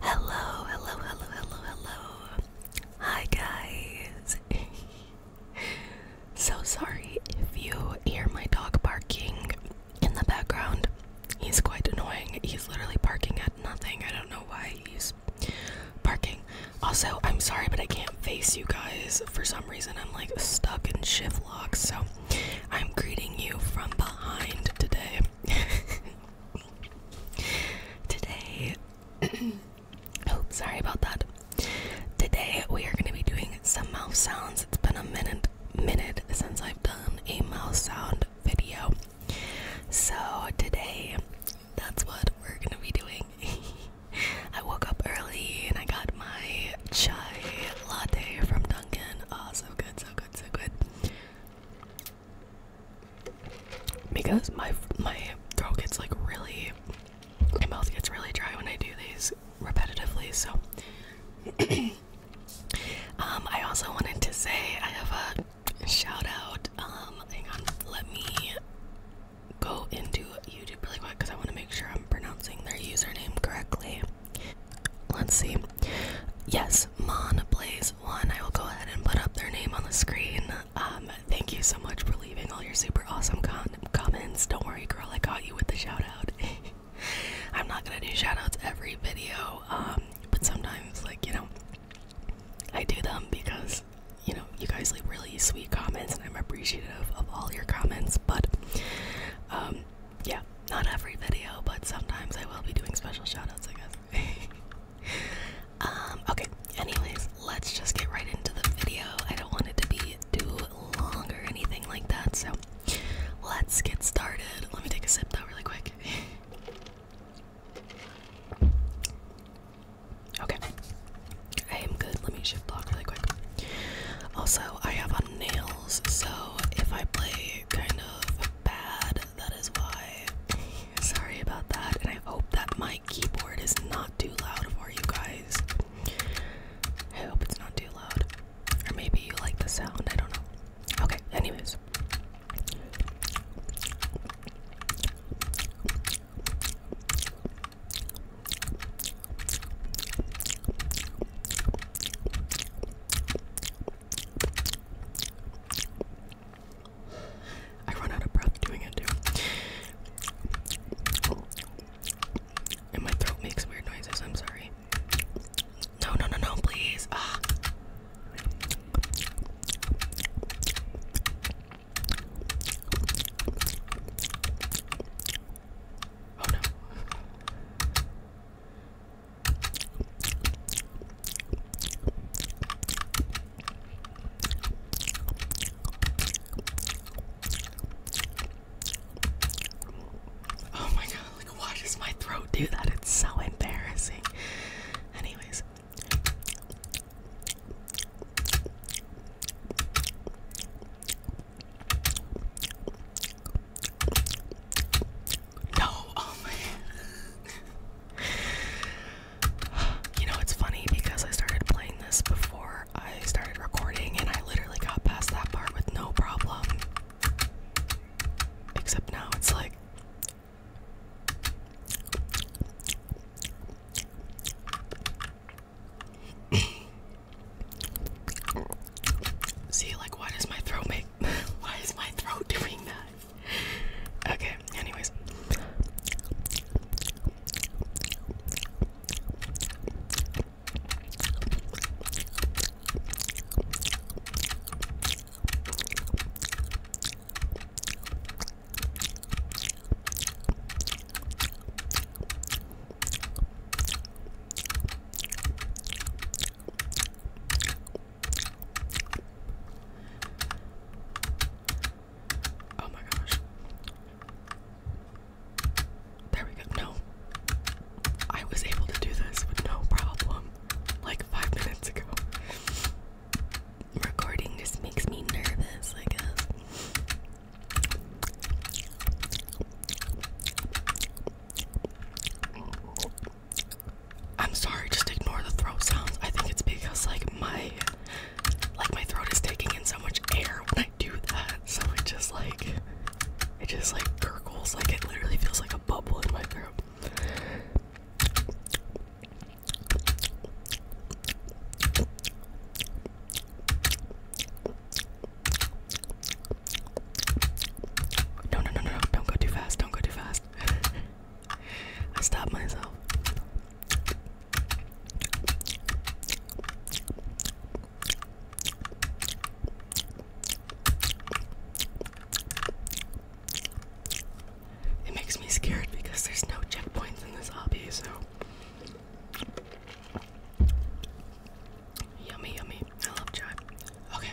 Hello, hello, hello, hello, hello. Hi, guys. so sorry if you hear my dog barking in the background. He's quite annoying. He's literally barking at nothing. I don't know why he's parking. Also, I'm sorry, but I can't face you guys. For some reason, I'm like stuck in shift lock, so I'm greeting you from behind today. today, oh, sorry about that. Today, we are going to be doing some mouth sounds. It's been a minute, minute since I've done a mouth sound video. So, today that's what we're gonna be doing. I woke up early and I got my chai latte from Dunkin'. Oh, so good, so good, so good. Because my my throat gets like really, my mouth gets really dry when I do these repetitively. So, um, I also wanted to say I have a shout out. Um, hang on, let me go into YouTube really quick because I want to make sure I'm pronouncing their username correctly. Let's see. Yes, Mon Blaze One. I will go ahead and put up their name on the screen. Um, thank you so much for leaving all your super awesome comments. Don't worry, girl, I got you with the shout out. I'm not gonna do shout outs every video, um, but sometimes, like, you know, I do them because you know you guys leave really sweet comments and I'm appreciative of all your comments but um yeah not every video but sometimes I will be doing special shoutouts I guess um okay anyways let's just get right into the video I don't want it to be too long or anything like that so let's get started let me take a sip though really quick Okay. I am good. Let me shift block really quick. Also, I have on nails, so if I play kind of bad, that is why. Sorry about that, and I hope that my keyboard is not too loud for you guys. I hope it's not too loud. Or maybe you like the sound, I don't know. Okay, anyways. I run out of breath doing it And my throat makes weird noises, I'm sorry. No, no, no, no, please. Ah. Oh no. Oh my god. Like, why does my throat do that? It's so embarrassing. Anyways. No, oh man. you know, it's funny because I started playing this before I started recording, and I literally got past that part with no problem. Except now it's like See, like, why does my throat make? why is my throat doing that? Okay. Anyways. Oh my gosh. There we go. No. I was able to do this with no problem like five minutes ago. Recording just makes me nervous, I guess. I'm sorry, just ignore the throat sounds. I think it's because like my like my throat is taking in so much air when I do that. So it just like it just like gurgles, like it literally feels like a bubble in my throat. No, no, no, no, don't go too fast, don't go too fast. I stopped myself. It makes me scared because there's no checkpoints in this hobby, so. Yummy, yummy. I love chive. Okay.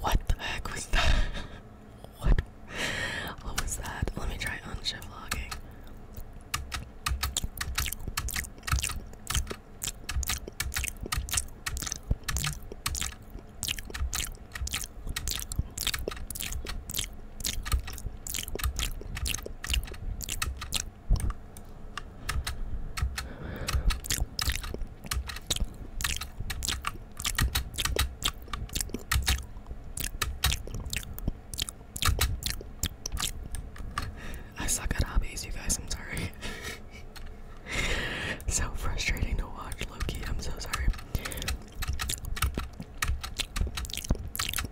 What the heck was that? what? What was that? Let me try unshift vlogging. I suck at hobbies, you guys. I'm sorry. so frustrating to watch, Loki. I'm so sorry.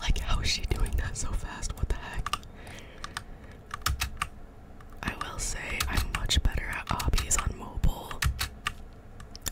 Like, how is she doing that so fast? What the heck? I will say I'm much better at hobbies on mobile.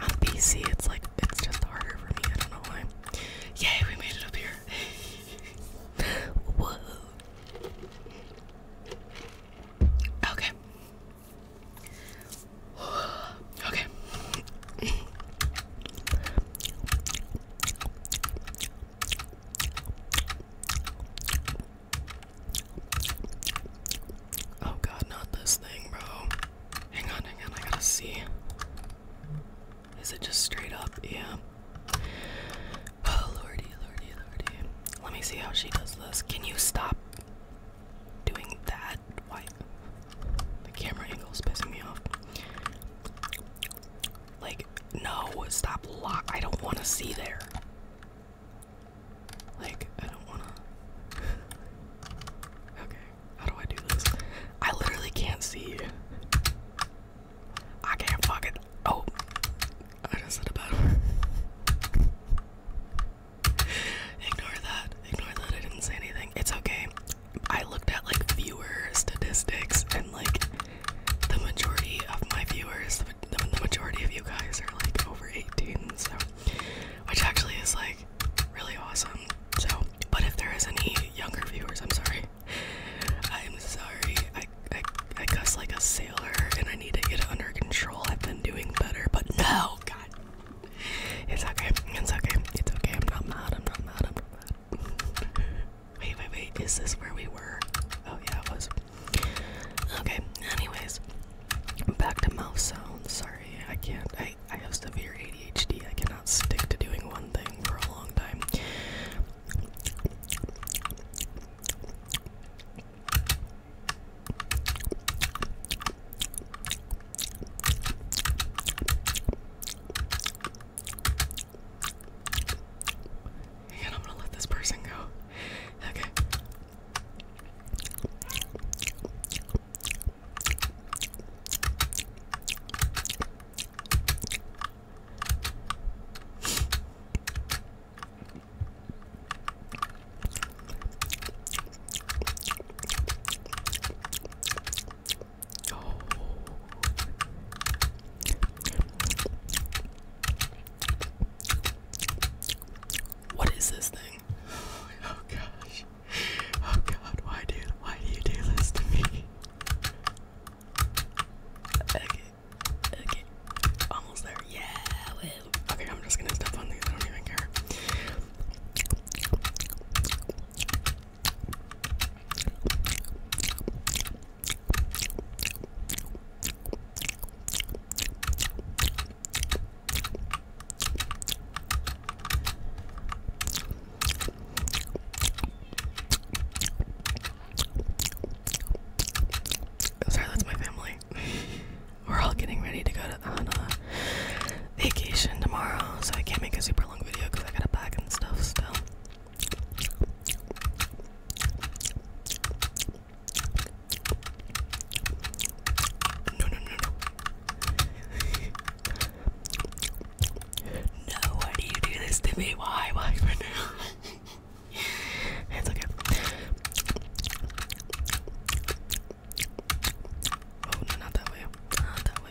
On PC, it's like it's just harder for me. I don't know why. Yay, we made it up here. Okay. okay. Oh god, not this thing, bro. Hang on, hang on, I gotta see. Is it just straight up? Yeah. Oh lordy, lordy, lordy. Let me see how she does this. Can you stop doing that? Why? The camera angle is pissing me off. Like, no, stop lock. I don't want to see there. Like, I don't want to. okay, how do I do this? I literally can't see. I can't fuck it. Oh, I just said a bad word. Ignore that. Ignore that. I didn't say anything. It's okay. I looked at like viewer statistics and like the majority of my viewers, the, majority of you guys are like over 18, so which actually is like really awesome. So, but if there is any younger viewers, I'm sorry. I'm sorry. I I, I cuss like a sailor, and I need to get under control. I've been doing better, but no, God, it's okay. It's okay. It's okay. I'm not mad. I'm not mad. I'm not mad wait, wait, wait. Is this where we were? Oh, yeah, it was. Okay, anyways, back to mouth sounds. Sorry, I can't. I, I have severe ADHD. I cannot stick to doing one thing for a long time. And I'm gonna let this person go. Okay. Oh. What is this thing? Oh, oh gosh. Oh god, why do you, why do you do this to me? Okay. Okay. Almost there. Yeah. Okay, I'm just gonna step on these. I don't even care. Sorry, that's my family. We're all getting ready to go to, on vacation tomorrow, so I can't make a super long video because I gotta pack and stuff still. No, no, no, no. no, why do you do this to me? Why? Why for it's okay. Oh, not that way. Not that way.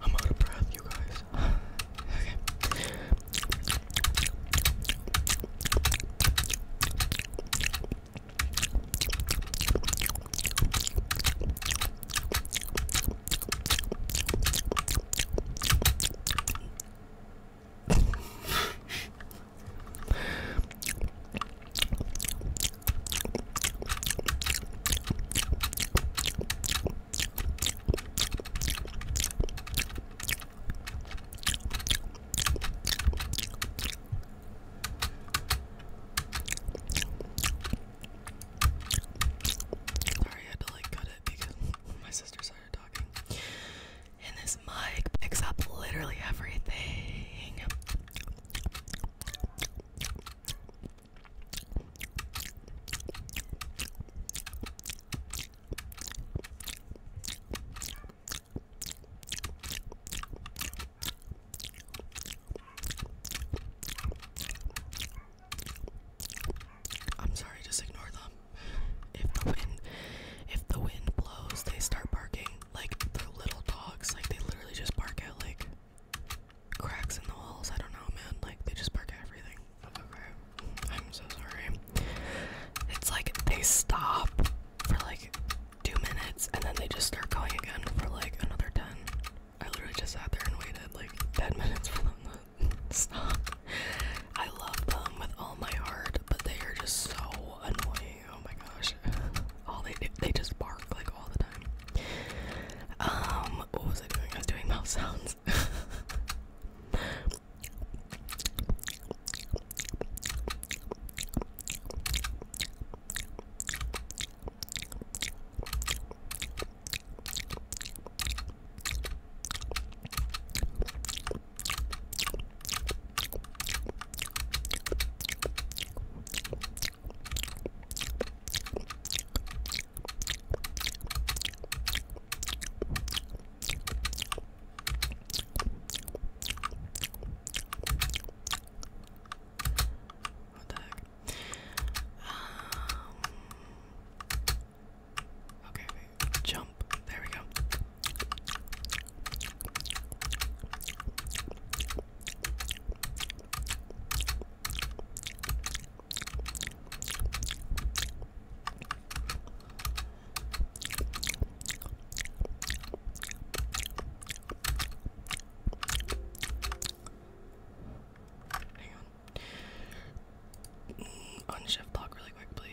I'm out of breath, you guys. Okay. Sorry, I had to like cut it because my sister started talking. And this mic picks up literally everything. I'm sorry, just ignore them. If the wind if the wind blows, they start barking like the little dogs, like they literally just bark at like cracks in the walls. I don't know, man. Like they just bark at everything. Okay, I'm so sorry. It's like they stop for like two minutes and then they just start going again for like another ten. I literally just sat there and waited like ten minutes for them to stop. I love them with all my heart, but they are just so annoying oh my gosh, all they they just bark like all the time. Um, what was I doing? I was doing mouth sounds. What the heck? Um, okay, wait. There we go. Hang on. Mm, unshift lock really quick, please.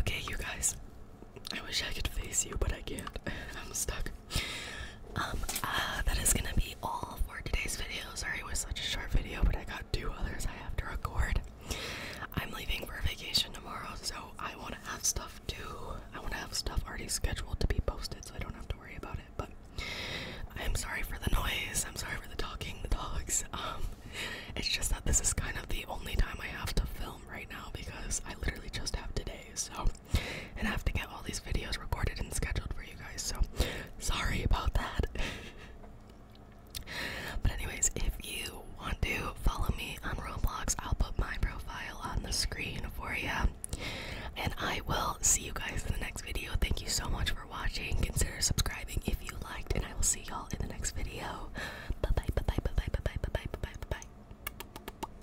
Okay, you guys. I wish I could face you, but I can't. I'm stuck. Um, uh, that is gonna be all for today's video. Sorry it was such a short video, but I got two others I have to record. I'm leaving for vacation tomorrow, so I want to have stuff To I want to have stuff already scheduled to be posted, so I don't have to worry about it. But I'm sorry for the noise. I'm sorry for the talking, the dogs. Um, it's just that this is kind of the only time I have to film right now because I literally just have today. So and I have to get all these videos recorded and scheduled for you guys. So sorry about that. but anyways, if you want to follow me on Roblox, I'll put my profile on the screen for you. And I will see you guys in the next video. Thank you so much for watching. Consider subscribing if you liked, and I will see y'all in the next video. Bye bye bye bye bye bye bye bye bye bye bye bye.